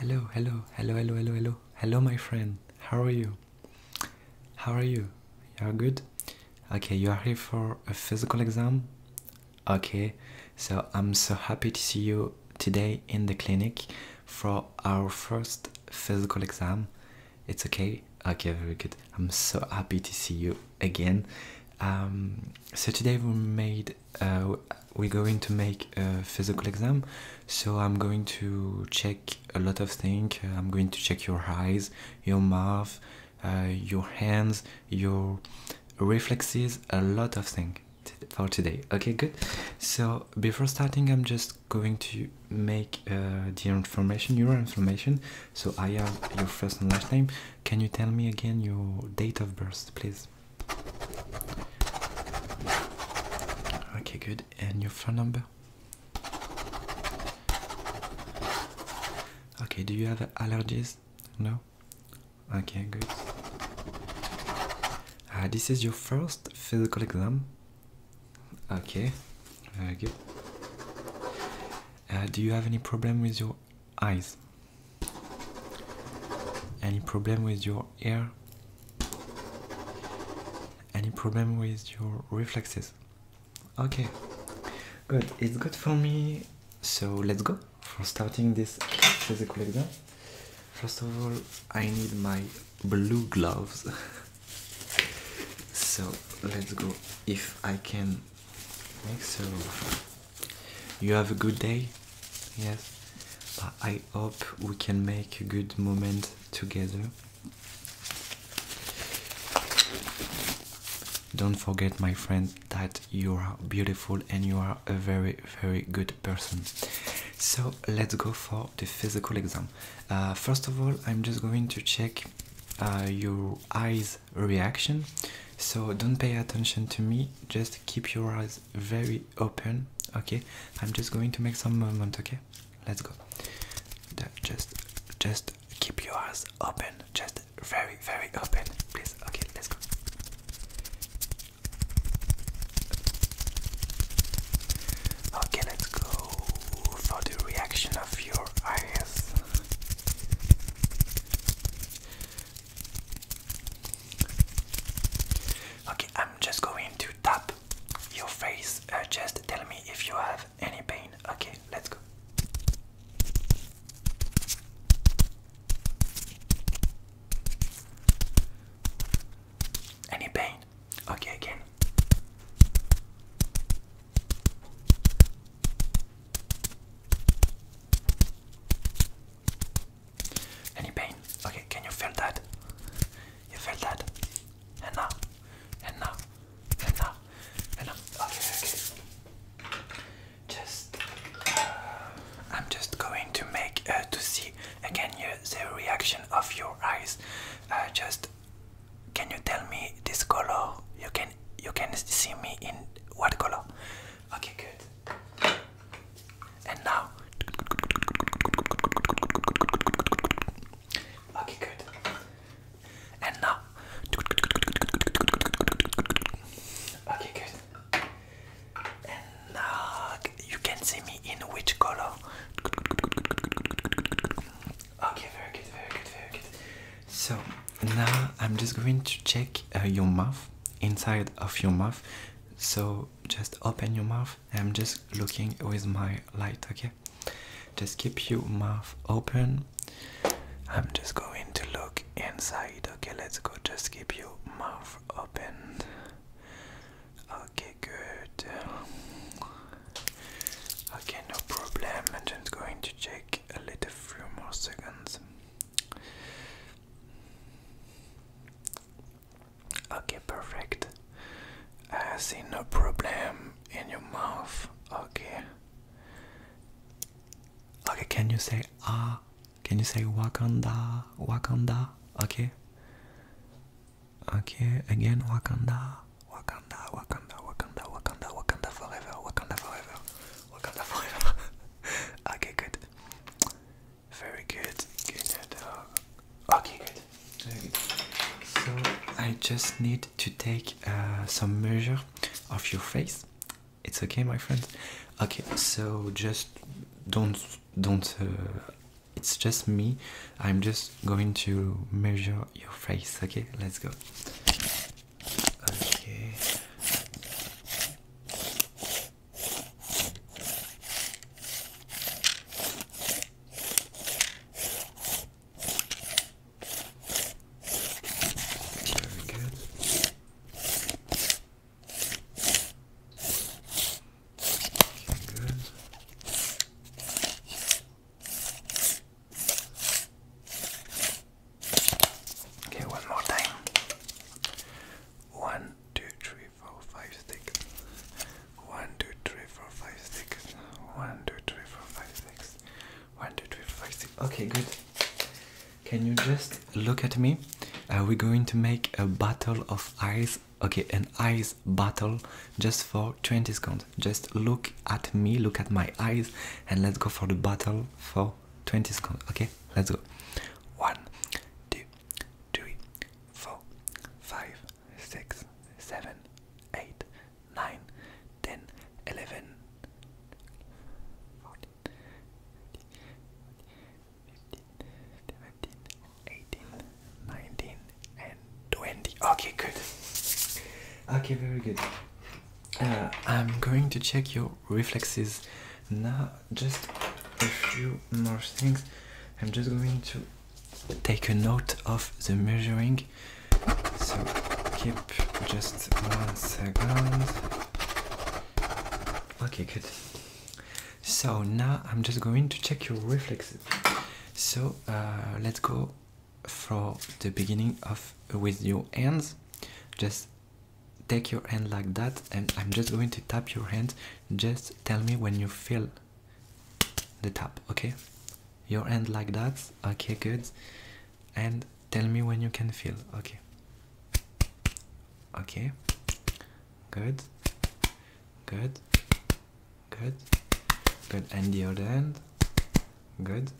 Hello, hello, hello, hello, hello, hello. Hello, my friend. How are you? How are you? You are good? Okay, you are here for a physical exam? Okay, so I'm so happy to see you today in the clinic for our first physical exam. It's okay? Okay, very good. I'm so happy to see you again. Um, so today we made uh, we're going to make a physical exam so i'm going to check a lot of things uh, i'm going to check your eyes your mouth uh, your hands your reflexes a lot of things for today okay good so before starting i'm just going to make the information your information so i have your first and last name can you tell me again your date of birth please Okay, good. And your phone number? Okay, do you have allergies? No? Okay, good. Uh, this is your first physical exam? Okay, very good. Uh, do you have any problem with your eyes any problem with your ear? any problem with your reflexes okay good it's good for me so let's go for starting this physical exam first of all i need my blue gloves so let's go if i can make so you have a good day? Yes. I hope we can make a good moment together. Don't forget, my friend, that you are beautiful and you are a very, very good person. So let's go for the physical exam. Uh, first of all, I'm just going to check uh, your eyes reaction so don't pay attention to me just keep your eyes very open okay i'm just going to make some movement okay let's go just just keep your eyes open just very very open please okay let's go okay let's go for the reaction of your eyes Okay, I'm just going to tap your face. Uh, just tell me if you have any pain. Okay, let's go. Any pain? Okay, again. Any pain? Okay, can you feel that? You feel that? And now, and now, and now, and now. Okay, Just, uh, I'm just going to make uh, to see again uh, the reaction of your eyes. Uh, just, can you tell me this color? You can can you can see me in what color? Okay, good. And now. Okay, good. And now. Okay, good. And now you can see me in which color? Okay, very good, very good, very good. So now I'm just going to check uh, your mouth, inside of your mouth. So just open your mouth. I'm just looking with my light, okay? Just keep your mouth open. I'm just going to look inside. Okay, let's go. Just keep your mouth open. Okay, good. Okay, no problem. I'm just going to check take a little few more seconds. Okay, perfect. I see no problem in your mouth. Okay. Okay, can you say ah? Can you say Wakanda? Wakanda? Okay. Okay, again Wakanda. Wakanda, Wakanda, Wakanda, Wakanda, Wakanda forever, Wakanda forever. okay, good. Very good. Good uh, Okay, good. So I just need to take uh, some measure of your face. It's okay, my friend. Okay, so just don't don't. Uh, it's just me. I'm just going to measure your face. Okay, let's go. Okay. Very good. Okay, good. Okay, one more time. One, two, three, four, five, six. One, two, three, four, five, six. One, two, three, four, five, six. One, two, three, four, five, six. Okay, good. Can you just look at me? Are we going to make a battle of eyes. Okay, an eyes battle just for 20 seconds. Just look at me, look at my eyes, and let's go for the battle for 20 seconds. Okay, let's go. One, two, three, four, five, six, seven, eight, nine, ten, eleven. and 20. Okay, good. Okay, very good. Uh, I'm going to check your reflexes now. Just a few more things. I'm just going to take a note of the measuring. So keep just one second. Okay, good. So now I'm just going to check your reflexes. So uh, let's go for the beginning of with your hands just take your hand like that and i'm just going to tap your hand just tell me when you feel the tap okay your hand like that okay good and tell me when you can feel okay okay good good good, good, and the other end, good,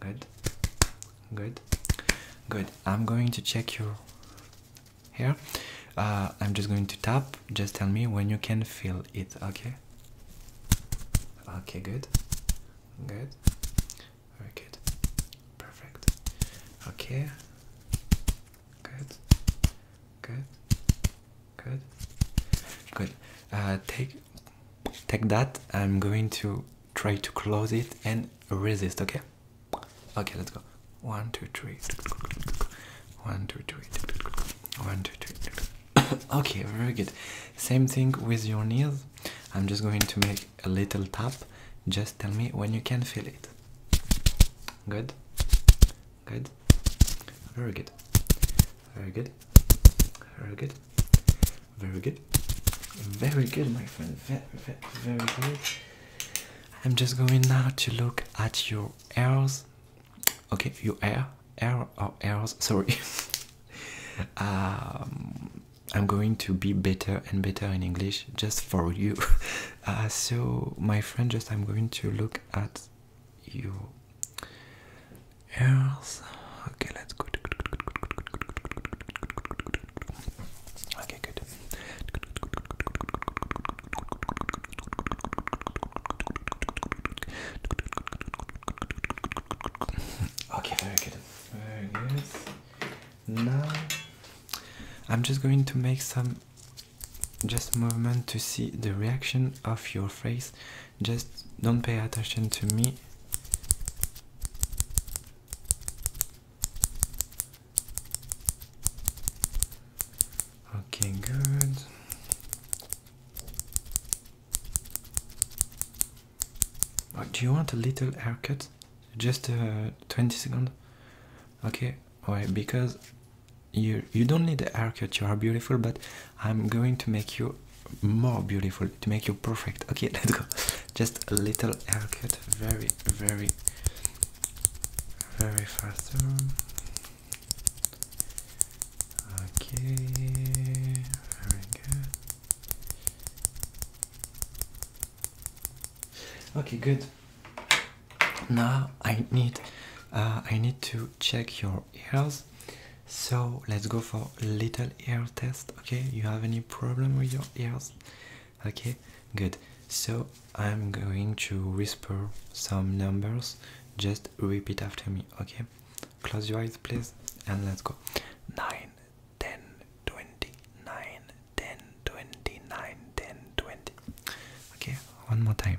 good, good, good. I'm going to check your hair. Uh, I'm just going to tap. Just tell me when you can feel it, okay? Okay, good, good, very good, perfect. Okay, good, good, Good. Good. Uh, take take that. I'm going to try to close it and resist. Okay. Okay. Let's go. One, two, three. One, two, three. One, two, three. okay. Very good. Same thing with your knees. I'm just going to make a little tap. Just tell me when you can feel it. Good. Good. Very good. Very good. Very good. Very good. Very good, my friend. Very, very, very good. I'm just going now to look at your errors. Okay, your hair, hair or ears. Sorry. um, I'm going to be better and better in English just for you. Uh, so, my friend, just I'm going to look at you ears. Okay, let's go. Good, good, good, good. Okay, good. Okay, very good. Very good. Now I'm just going to make some just movement to see the reaction of your face just don't pay attention to me okay good oh, do you want a little haircut just uh, 20 seconds okay why because you you don't need the haircut you are beautiful but i'm going to make you more beautiful to make you perfect okay let's go just a little haircut very very very faster okay very good okay good now i need uh, i need to check your your ears so let's go for little ear test okay you have any problem with your ears okay good so i'm going to whisper some numbers just repeat after me okay close your eyes please and let's go 9 10 20 9 10 20 9 10 20 okay one more time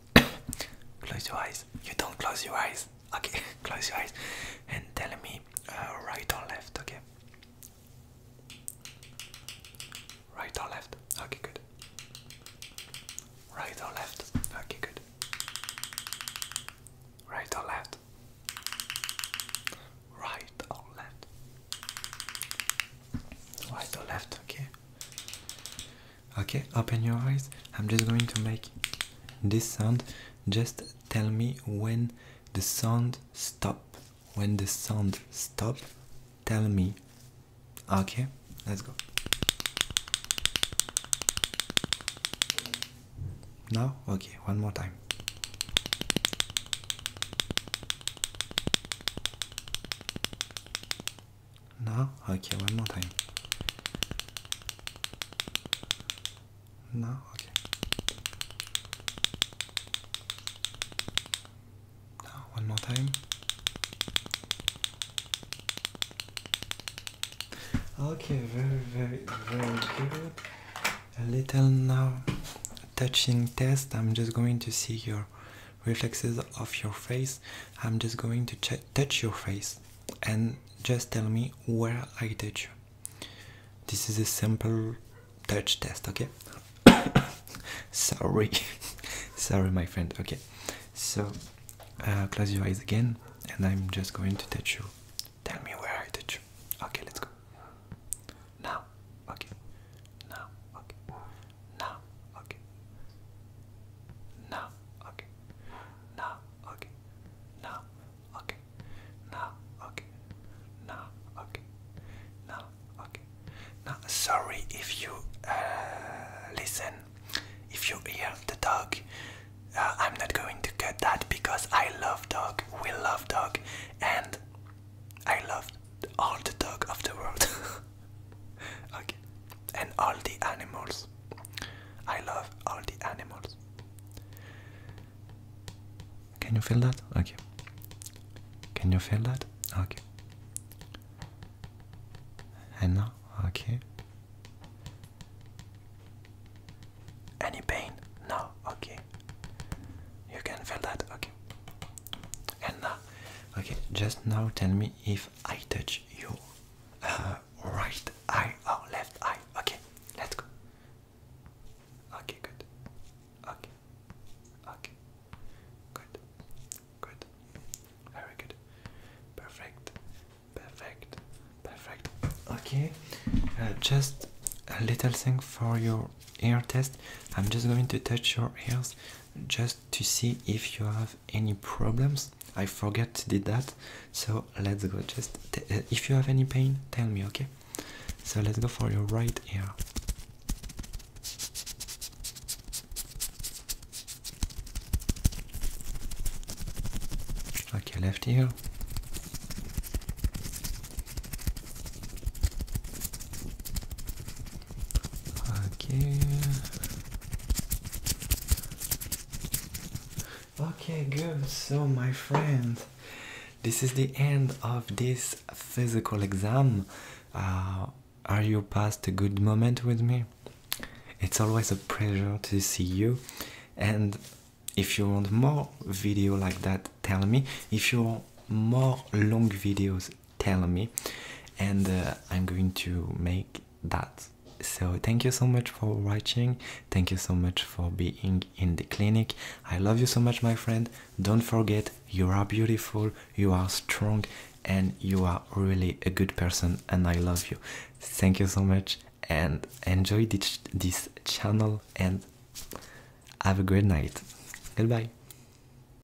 close your eyes. You don't close your eyes. Okay, close your eyes and tell me uh, right or left. Okay. Right or left? Okay, good. Right or left? Okay, good. Right or left? Right or left? Right or left? Okay okay open your eyes i'm just going to make this sound just tell me when the sound stop when the sound stop tell me okay let's go now okay one more time no? Okay, one more time. No? Okay. No, one more time. Okay, very, very, very good. A little now touching test. I'm just going to see your reflexes of your face i'm just going to touch your face and just tell me where i touch you this is a simple touch test okay sorry sorry my friend okay so uh, close your eyes again and i'm just going to touch you tell me where i touch you okay let's go now okay now okay Na, okay. Na, okay. Na, okay. Na, okay. Na, okay. Na, okay. Na, okay. Now, sorry if you uh, listen, if you hear the dog. Uh, I'm not going to cut that because I love dog. We love dog, and I love all the dog of the world. okay. And all the animals. I love all the animals. Can you feel that? Okay. Can you feel that? Okay. And now? Okay. Any pain? No. Okay. You can feel that? Okay. And now? Okay, just now tell me if I touch your uh, right eye or oh, left eye. Okay, let's go. Okay, good. Okay, okay, good, good, very good, perfect, perfect, perfect. Okay, uh, just a little thing for your ear test. I'm just going to touch your ears just to see if you have any problems. I forget did that, so let's go. Just uh, if you have any pain, tell me, okay? So let's go for your right ear. Okay, left ear. Okay. Okay, good. So, my friend, this is the end of this physical exam. Uh, are you past a good moment with me? It's always a pleasure to see you. And if you want more video like that, tell me. If you want more long videos, telling me and uh, i'm going to make that so thank you so much for watching thank you so much for being in the clinic i love you so much my friend don't forget you are beautiful you are strong and you are really a good person and i love you thank you so much and enjoy this, this channel and have a great night goodbye